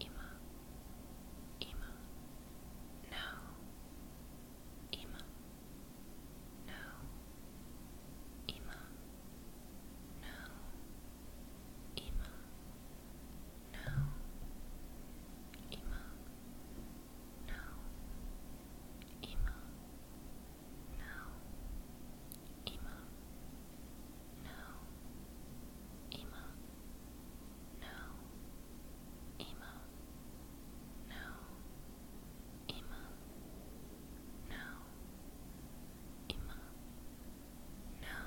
Ima, Ima, no, Ima, no, Ima, no, Ima, no, Ima, no, Ima, no, no. Emo. No. Emo. No. Emo. No. Emo. No.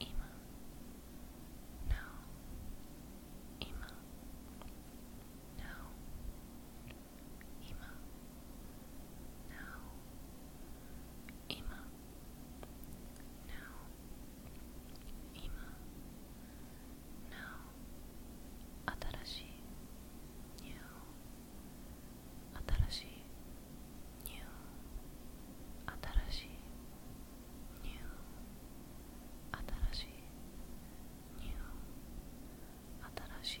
Emo. No. Emo. No. Emo. Now, Emma. Now, Emma. Now, New. Atarashi. New. Atarashi. New. Atarashi. New. Atarashi.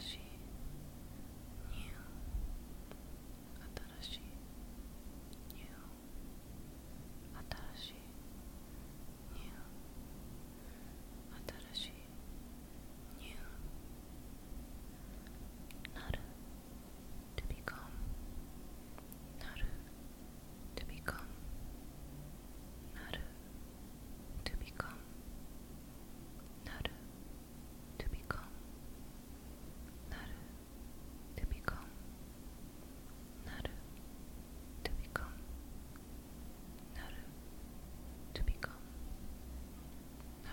新しいニュー新しいニュー新しいニュー新しいニューなる to become なる to become なる to become Nada to become. Nada to become. Nada to become. Nada to become.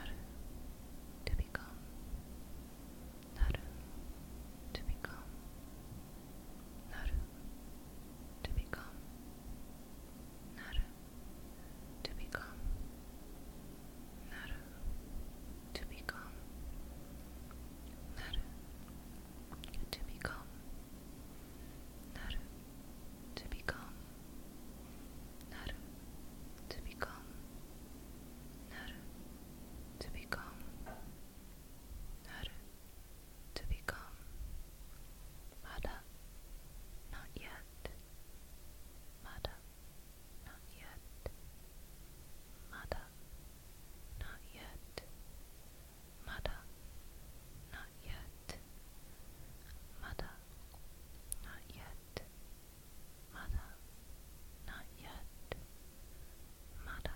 Nada to become. Nada to become. Nada to become. Naru, to become. Naru, to become. Naru, to become. Naru, to become. Naru, to become. Naru, to become. Naru, to become. Mada, not yet. Mada, not yet. Mada, not yet. Mada, not yet. Mada, not yet. Mada, not yet. Mada,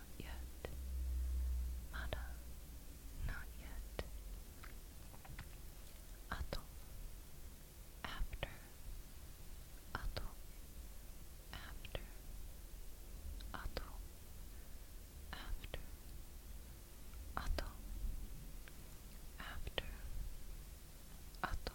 not yet. Mada. Not yet. Ato. After. Ato. After. Ato. After. Ato. After. After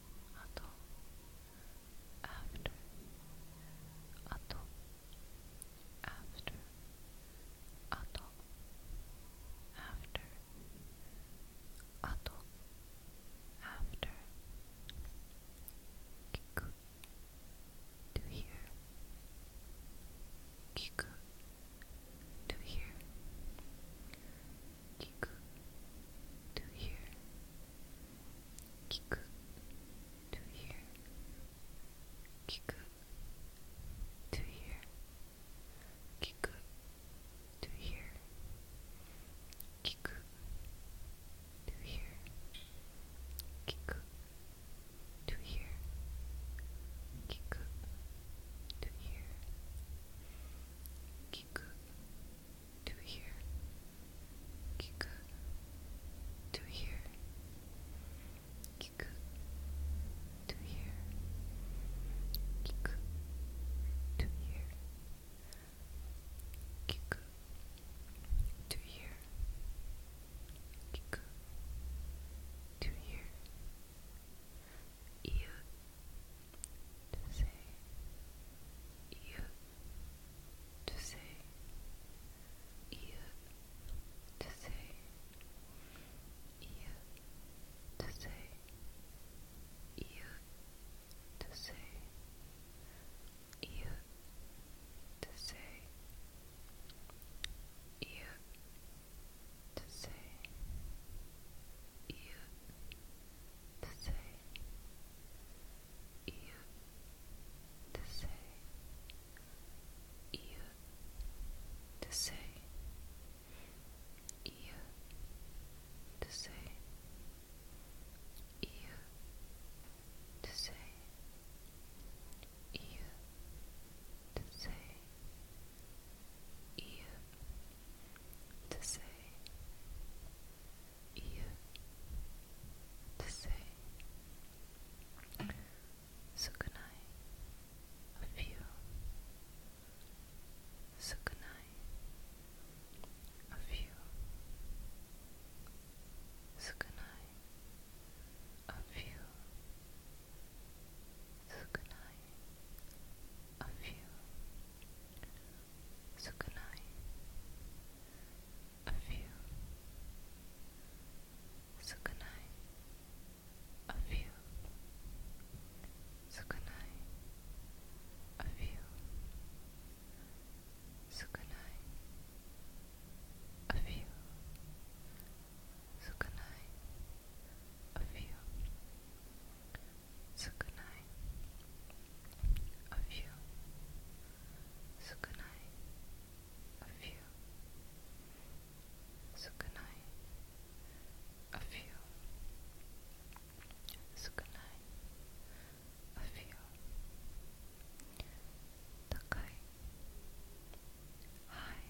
あと after あと after あと after あと after 聞く to hear 聞く to Kiku to here. Kiku to here. Kiku to here. Kiku to here. Kiku to here. Kiku to here. Kiku to here. Kick to hear? Kick to here. Kick to here. Kick to here. Kick to here. Kick to here you to say you to say you to say you to say you to say you to say you to say you to say you to say you to say you to say you to say you to say you to say you to say sukunai of you sukunai of you sukunai of you sukunai of you. Sukunai of you. Sukunai of you. Sukunai of you. Sukunai of you. Sukunai of you. Sukunai of you Sukunai of you Sukunai of you Sukunai of you Takai High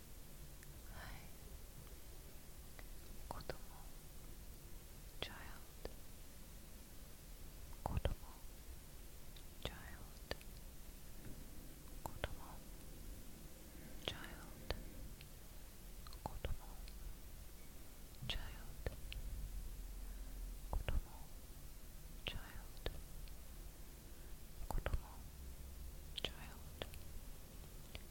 子供 child 子供 child 子供 child 子供 child 子供 child 子供 child 子供 child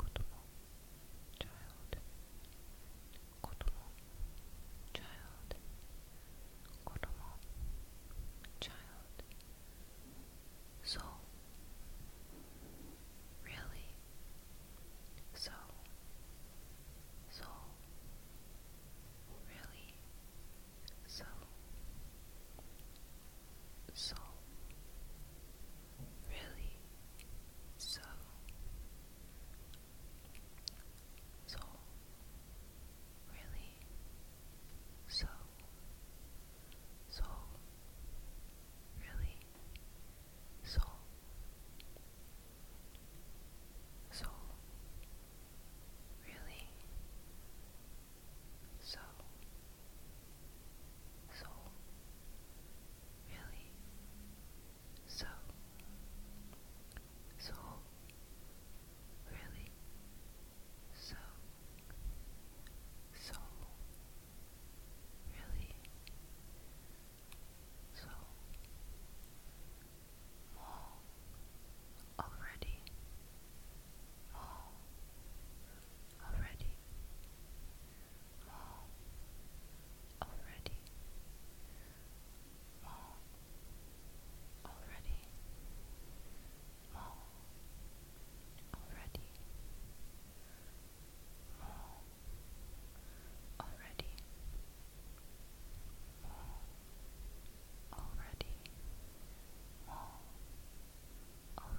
Kotomo, child. Kotomo, child. Kotomo, child. So, really, so, so, really, so, so really so so really so so really so so really so so really so so really so so really so more already more already more already, more already, more already, more already, more already, more already. More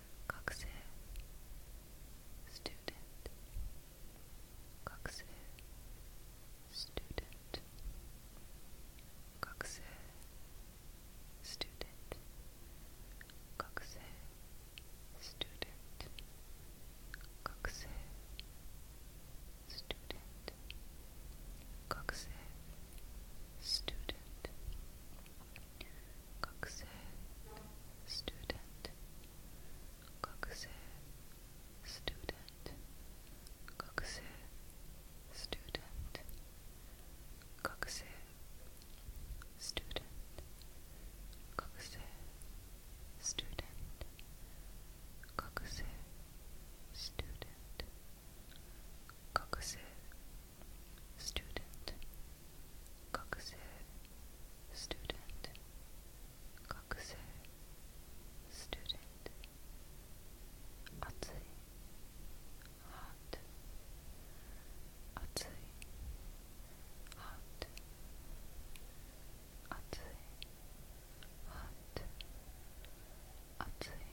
Coxer student Coxer student Coxer student Coxer student Coxer student Coxer student Koksö, student. Koksö, student. Koksö, student. Koksö, student. Koksö, student. Koksö, student. Koksö, student, kokusei, student, kokusei, student, atsui, hot, atsui, hot, atsui, hot, atsui,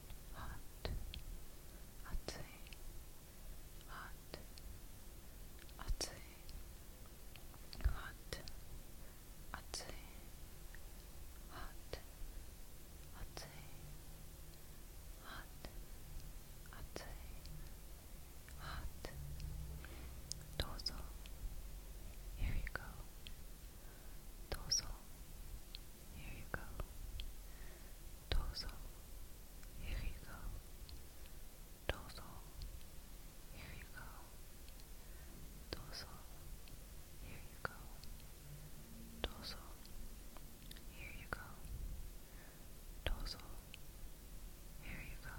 hot, hot, hot, hot, hot, hot, hot, hot, hot, hot, hot. Dozo, here you go. Tozo. Here you go. Tozo. Here you go. Tozo. Here you go. Tozo. Here you go. Tozo. Here you go. Tozo. Here you go.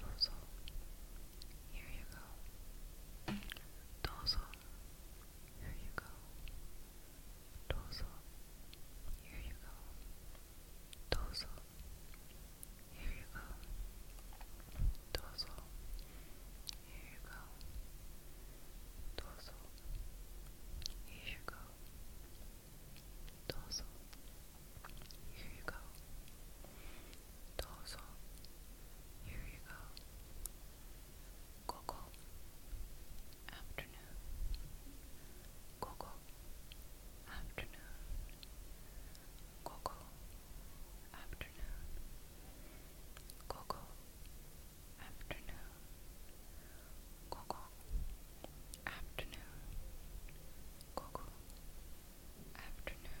Tozo. Here you go. Tozo. Here you go. Torso. Here you go. Torso. Here you go. Torso. Here you go. Torso. Here you go. Torso. Here you go. Torso. Here you go. Coco afternoon Coco afternoon Coco afternoon Coco afternoon Coco afternoon Coco afternoon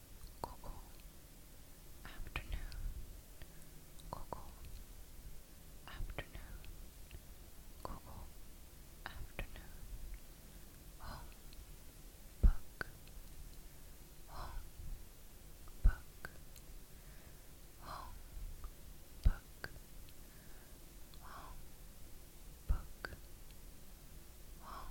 Coco afternoon Coco afternoon Coco afternoon home book home book home book home book home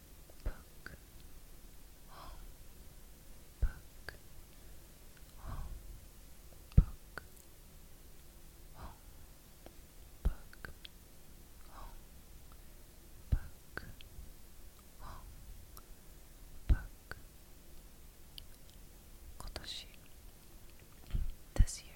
book, home, book, home, book, home, book, home, book, home, book. Kotoshi, this year.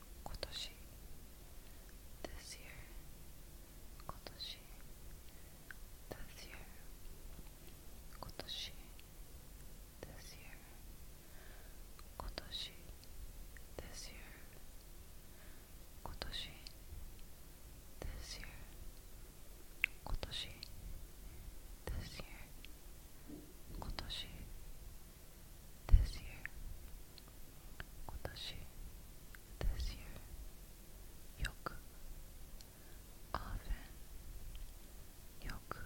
今年 This year 今年 This year 今年 This year 今年 This year 今年 This year 今年 This year 今年 This year this year. this year. Yoku often. Yoku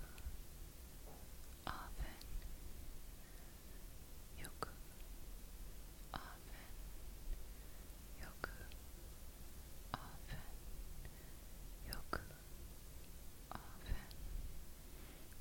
often. often. often. often.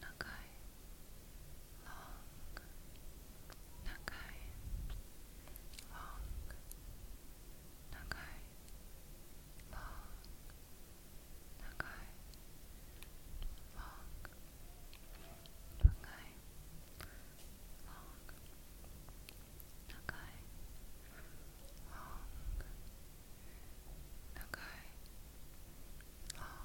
Nakai, long, Nakai, long, Nakai, long, Nakai, long, Nakai, long, Nakai, long, Nakai, long,